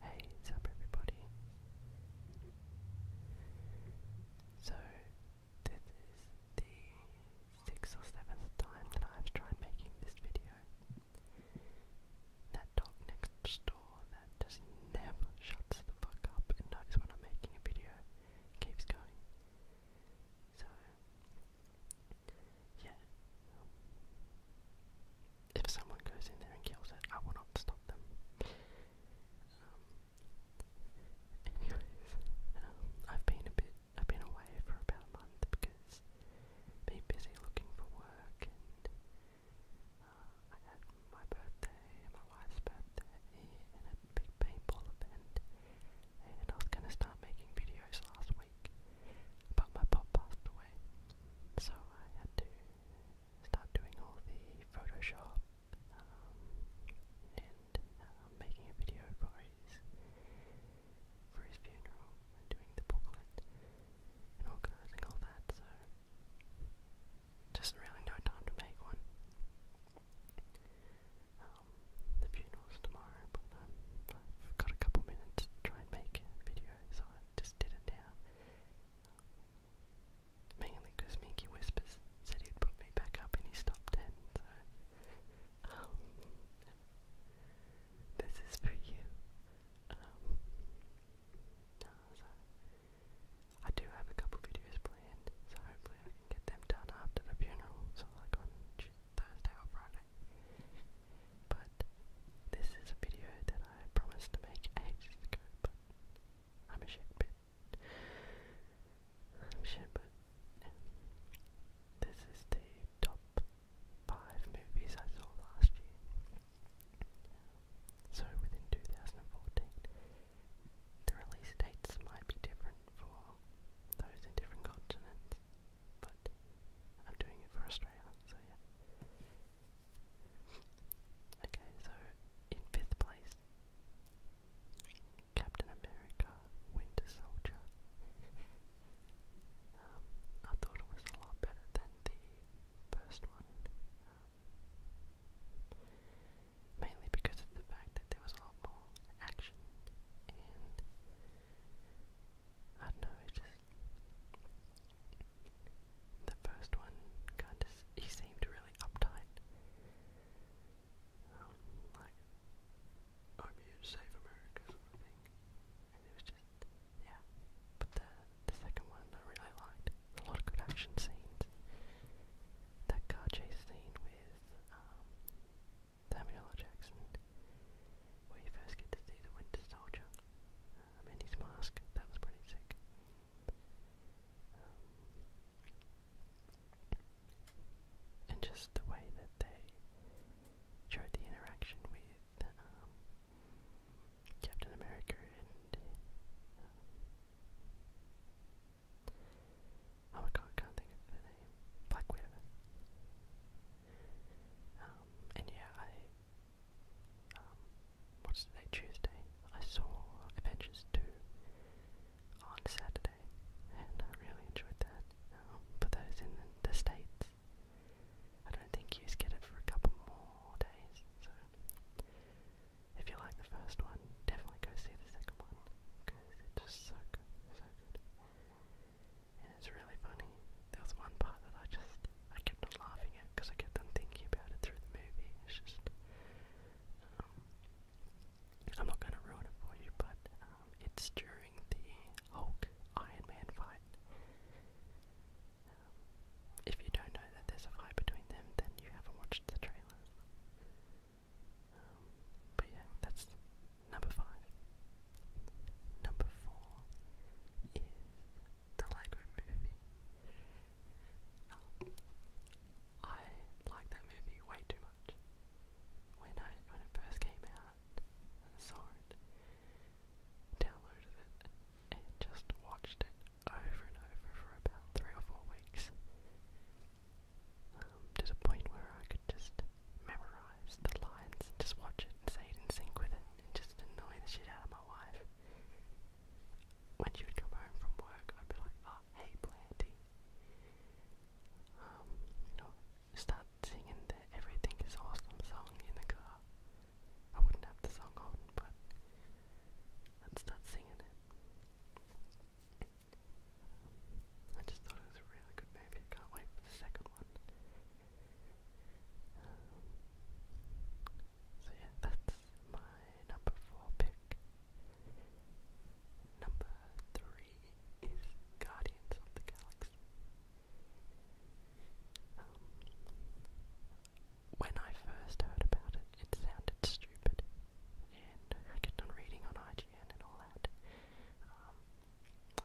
Hey, what's up everybody? So, this is the sixth or seventh time that I've tried making this video. That dog next door that just never shuts the fuck up and knows when I'm making a video keeps going. So, yeah if someone goes in there and kills it, I will not stop them. Um, anyways, um, I've been a bit, I've been away for about a month because been busy looking for work and uh, I had my birthday my wife's birthday and a big paintball event and I was going to start making videos last week but my pop passed away so I had to start doing all the Photoshop um, and uh, making a video for his, for his funeral and doing the booklet and organising all that. So just really no time to make one. Um, the funeral's tomorrow, but um, I've got a couple minutes to try and make a video, so just didn't have. Mainly because Minky Whispers said he'd put me back up and he stopped in, so. Um, this is for you. Um, I do have a couple videos planned, so hopefully I can get them done after the funeral, so like on Thursday or Friday. But this is a video that I promised to make ages ago, but I'm a shitbit. I'm a shitbit. This is the top five movies I saw last year. So within 2014, the release dates might be different for those in different continents, but I'm doing it for Australia, so yeah. Okay, so in fifth place, Captain America Winter Soldier. Um, I thought it was a lot better than the first one. Um, mainly because of the fact that there was a lot more action I don't know, it just. The first one kind of. He seemed really uptight. Um, like, I'm here to save America, sort of thing. And it was just. Yeah. But the, the second one I really liked. A lot of good action scenes. That car chase scene with um, Samuel L. Jackson, where you first get to see the Winter Soldier, um, a Mindy's mask. That was pretty sick. Um, and just the way that they showed the interaction with um, Captain America and oh my god, can't think of the name. Black Widow. and yeah, I um, what's today, Tuesday, I saw Avengers 2 on Saturday, and I really enjoyed that. Um, for those in the, the States, I don't think you get it for a couple more days, so if you like the first one, definitely go see the second one, because it's just so good, so good it's really funny. There was one part that I just I kept on laughing at because I kept on thinking about it through the movie. It's just um, I'm not going to ruin it for you, but um, it's during the Hulk Iron Man fight. Um, if you don't know that there's a fight between them, then you haven't watched the trailer. but yeah, that's number five. Number four is the Lego movie. I like that movie way too much. When I when it first came out saw it, downloaded it and just watched it over and over for about three or four weeks. Um, to the point where I could just memorize the lines just watch it and say it in sync with it just annoy the shit out of my wife. When she would come home from work, I'd be like, oh, hey, Planty. Um, you know, start singing the is Awesome song in the car. I wouldn't have the song on, but I'd start singing it. I just thought it was a really good movie. can't wait for the second one. Um, so yeah, that's my number four pick. Number three is Guardians of the Galaxy. Um, when I first heard about it, it sounded stupid, and I kept on reading on IGN and all that, um,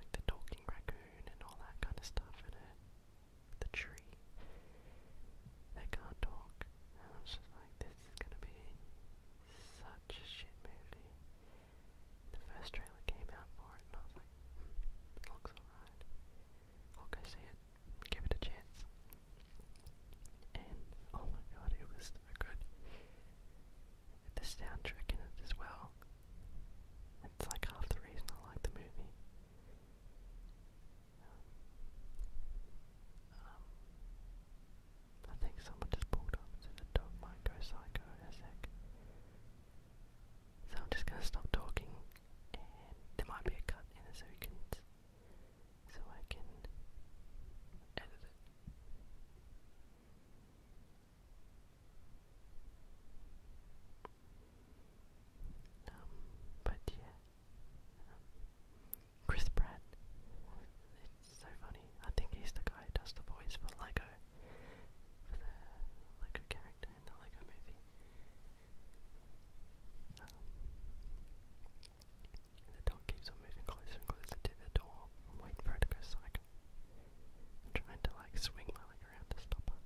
like the talking raccoon and all that kind of stuff, and it the tree that can't talk. I was just like, this is gonna be such a shit movie. The first trailer came out for it, and I was like, hmm, looks alright. I'll go see it, give it a chance. And oh my god, it was good. The soundtrack in it as well. It's like half the reason I like the movie. Um, I think someone just pulled up to the dog might psycho in a sec. So I'm just gonna stop talking there might be a cut in a second so I can edit it. Um, but yeah, Chris Pratt, it's so funny. I think he's the guy who does the voice for Lego, for the Lego character in the Lego movie. Um, the dog keeps on moving closer and closer to the door. I'm waiting for her to go psycho. trying to like swing my leg around to stop her.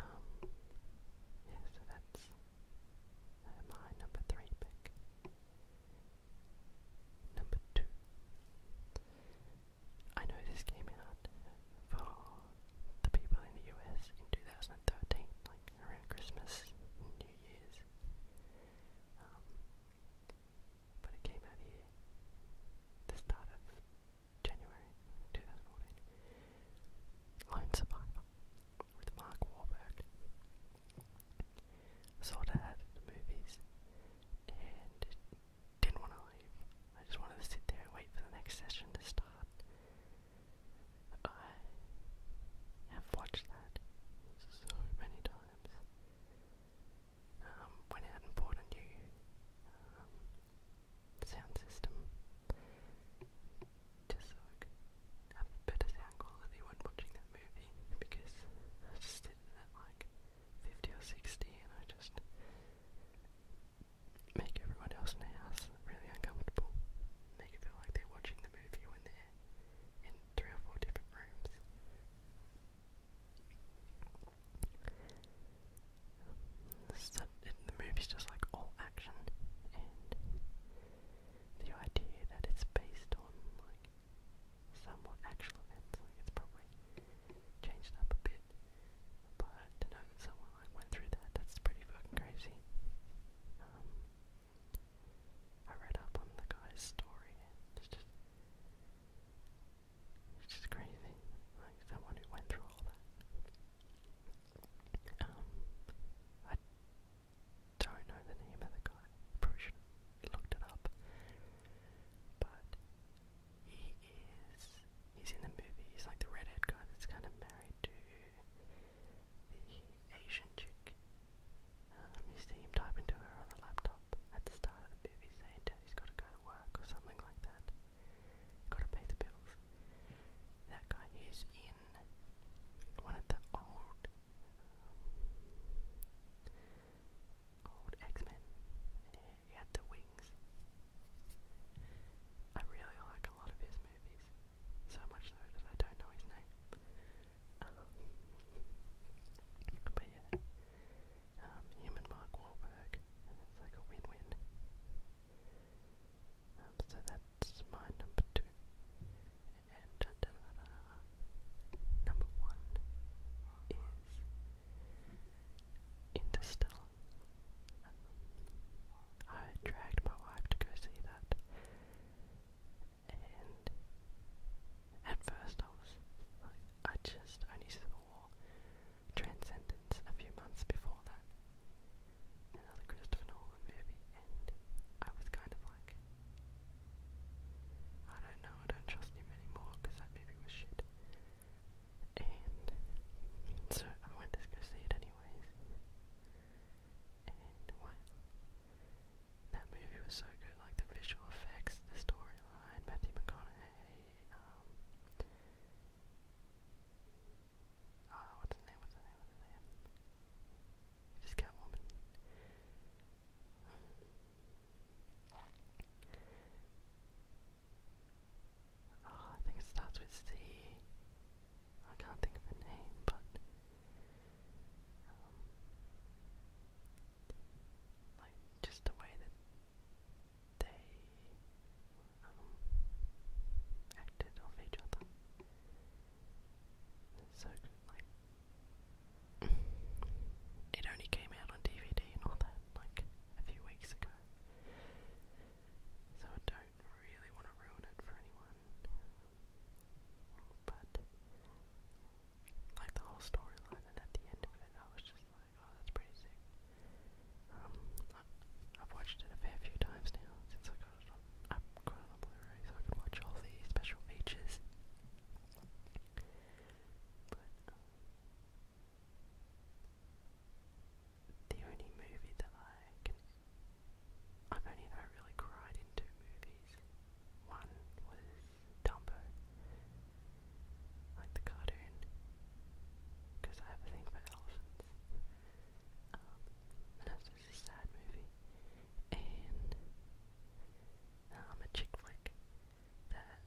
Um, yeah, so that's uh, my number three pick. Number two. I know this came out for the people in the US in 2013, like around Christmas New Year's. Um, but it came out here, the start January 2014. Lone Survivor with Mark Wahlberg. Sort of had the movies and didn't want to leave. I just wanted to sit there and wait for the next session to start. I have watched that so many times. Um, went out and bought a new um, sound system just so I better sound quality when watching that movie because I was sitting at like 50 or 60 and I just make everyone else in the house really uncomfortable. Make it feel like they're watching the movie when they're in three or four different rooms. So, it, the movie's just like all action, and the idea that it's based on like somewhat actual events, like it's probably changed up a bit. But to know that someone like went through that, that's pretty fucking crazy. Um, I read up on the guy's story, it's just crazy. Like someone who went through all that. Um, I don't know the name of the guy. probably should looked it up. But he is he's in the movie, he's like the redhead guy that's kinda married to the Asian chick. Um, you see him typing to her on a laptop at the start of the movie saying Daddy's gotta go to work or something like that. Gotta pay the bills. That guy is in one of the old, old X-Men. He had the wings. I really like a lot of his movies. So much so that I don't know his name. but yeah, um, him and Mark Wahlberg, it's like a win-win. Um, so that's my number two. And number one is Interstellar. I dragged my wife to go see that, and at first I was like, I just only saw Transcendence a few months before that. Another Christopher Nolan movie, and I was kind of like, I don't know, I don't trust him anymore because that movie was shit. And so I went to go see it anyways. And what? That movie was so good, like the visual effects, the storyline, Matthew McConaughey what's his name, what's his name, what's his name? just got woman. Oh, I think it starts with C. I can't think of the name, but like just the way that they um, acted off each other. so like it only came out on DVD and all that like a few weeks ago. So I don't really want to ruin it for anyone. But like the whole storyline and at the end of it I was just oh, that's pretty sick. Um, I've watched it a fair few times now since I got it on. I got it on Blu-ray, so I could watch all the special features. But the only movie that I can, I've only ever really cried in two movies. One was Dumbo, like the cotton, because I have a thing for elephants. Um, and that's just a sad movie. And um, a chick flick that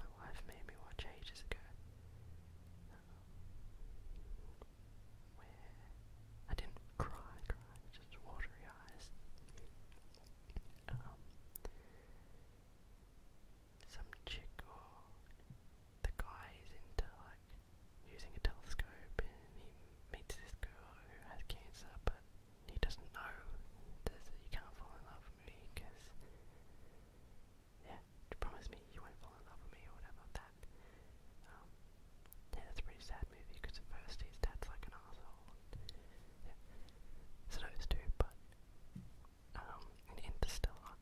my wife made me watch ages ago. Um, where I didn't cry, cry, just watery eyes. Um, some chick or the guy is into like using a telescope and he meets this girl who has cancer but he doesn't know that you can't fall in love with me because yeah, you promise me you won't fall in love with me or whatever that um, yeah, that's a pretty sad movie because at first his dad's like an asshole. Yeah, so those two, but um, in Interstellar,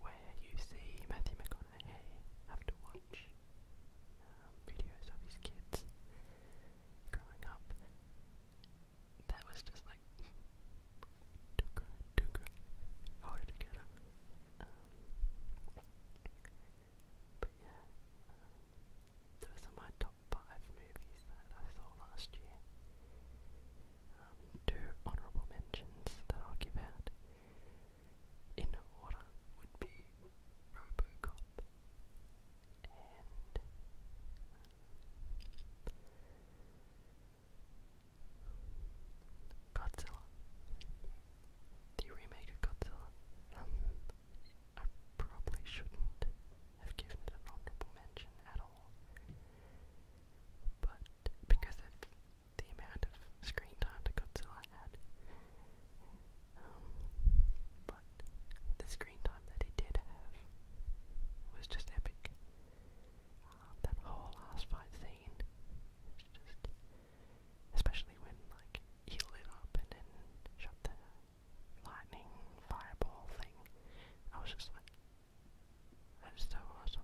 where you see Matthew McConaughey have to watch um, videos of his kids growing up. That was just like too good, too good. Hold it together. Um, but yeah, um, those are my top five movies that I saw last year um, two honorable mentions that I'll give out in order would be Robocop and Godzilla. The remake of Godzilla. Um, I probably shouldn't have given it an honorable mention at all but because of the amount of screen time Godzilla had. Um, but the screen time that he did have was just epic. Um, that whole last fight scene just, especially when like he lit up and then shot the lightning fireball thing. I was just like, that's so awesome.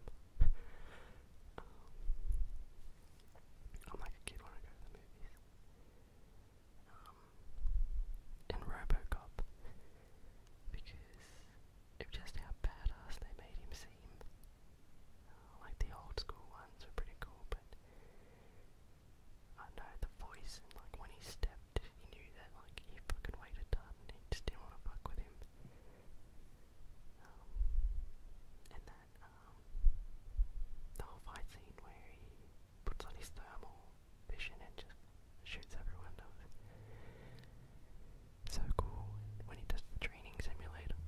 I'm like a kid when I go to the movies. Um, in Robocop, because of just how badass they made him seem. Uh, like the old school ones were pretty cool, but I know the voice and like when he stepped, he knew that, like, he fucking waited hard and he just didn't want to fuck with him. Um, and that, um, the whole fight scene where he puts on his thermal vision and just shoots everyone So cool when he does training simulator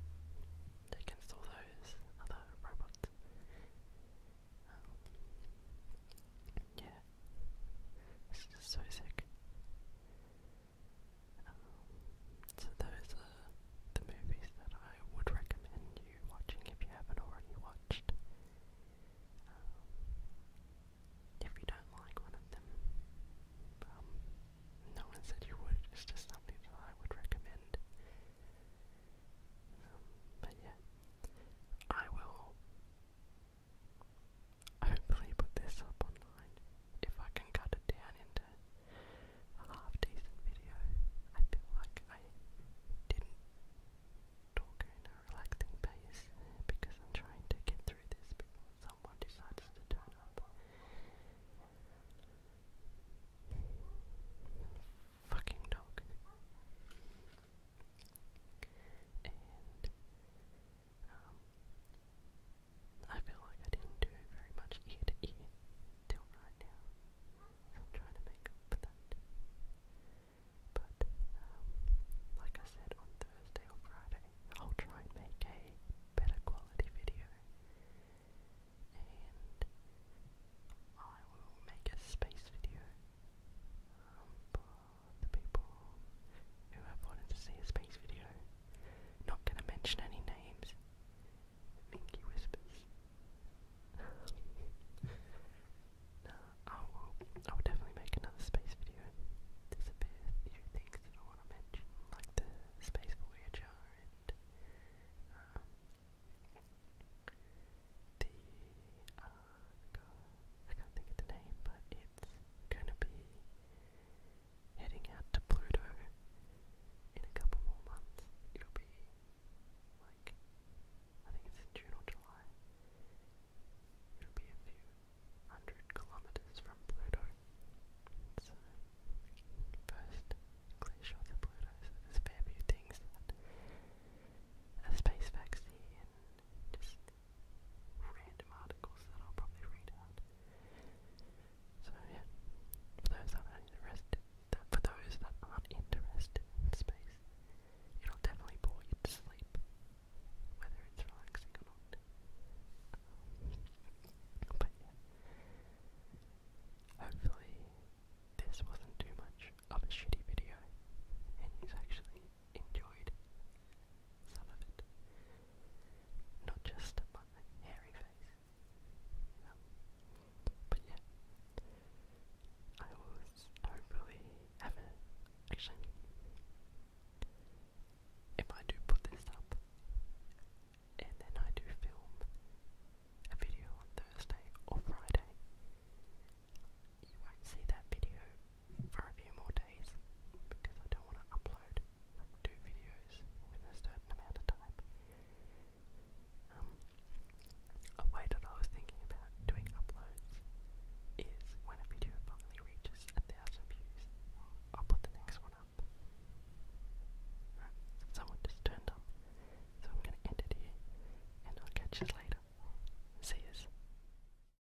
against all those other robots. Um, yeah. This is so sick. Um, so those are the movies that I would recommend you watching if you haven't already watched. Um, if you don't like one of them, um, no one said you would, it's just something that I would recommend. but yeah, I will Hopefully put this up online. If I can cut it down into a half decent video. I feel like I didn't talk in a relaxing pace because I'm trying to get through this before someone decides to turn up. Fucking dog. Um, I feel like I didn't do very much ear to ear till right now. I'm trying to make up for that. But, um, like I said on Thursday or Friday, I'll try and make a better quality video. And I will make a space video um, the people who have wanted to see a space video. Not gonna mention any names. Minky whispers. no, I will, I will definitely make another space video. There's a things that I want to mention, like the Space Voyager and um, the uh, I can't think of the name, but it's gonna be heading out to Pluto in a couple more months. It'll be like I think it's in June or July. It'll be a few hundred kilometers from Pluto. So first glacier to Pluto, so there's a fair few things a space vaccine just random articles that I'll probably read out. So yeah, for those that aren't interested, for those that aren't interested in space, it'll definitely bore you to sleep, whether it's relaxing or not. Um, but yeah, hopefully this wasn't too much of a shitty video, and actually enjoyed some of it. Not just my hairy face. but yeah, I was hopefully haven't actually. If I do put this up, and then I do film a video on Thursday or Friday, you won't see that video for a few more days because I don't want to upload two videos within a certain amount of time. Um, a way that I was thinking about doing uploads is when a video finally reaches a thousand views, I'll put the next one up. someone just turned up, so I'm going to end it here, and I'll catch you later. See yous.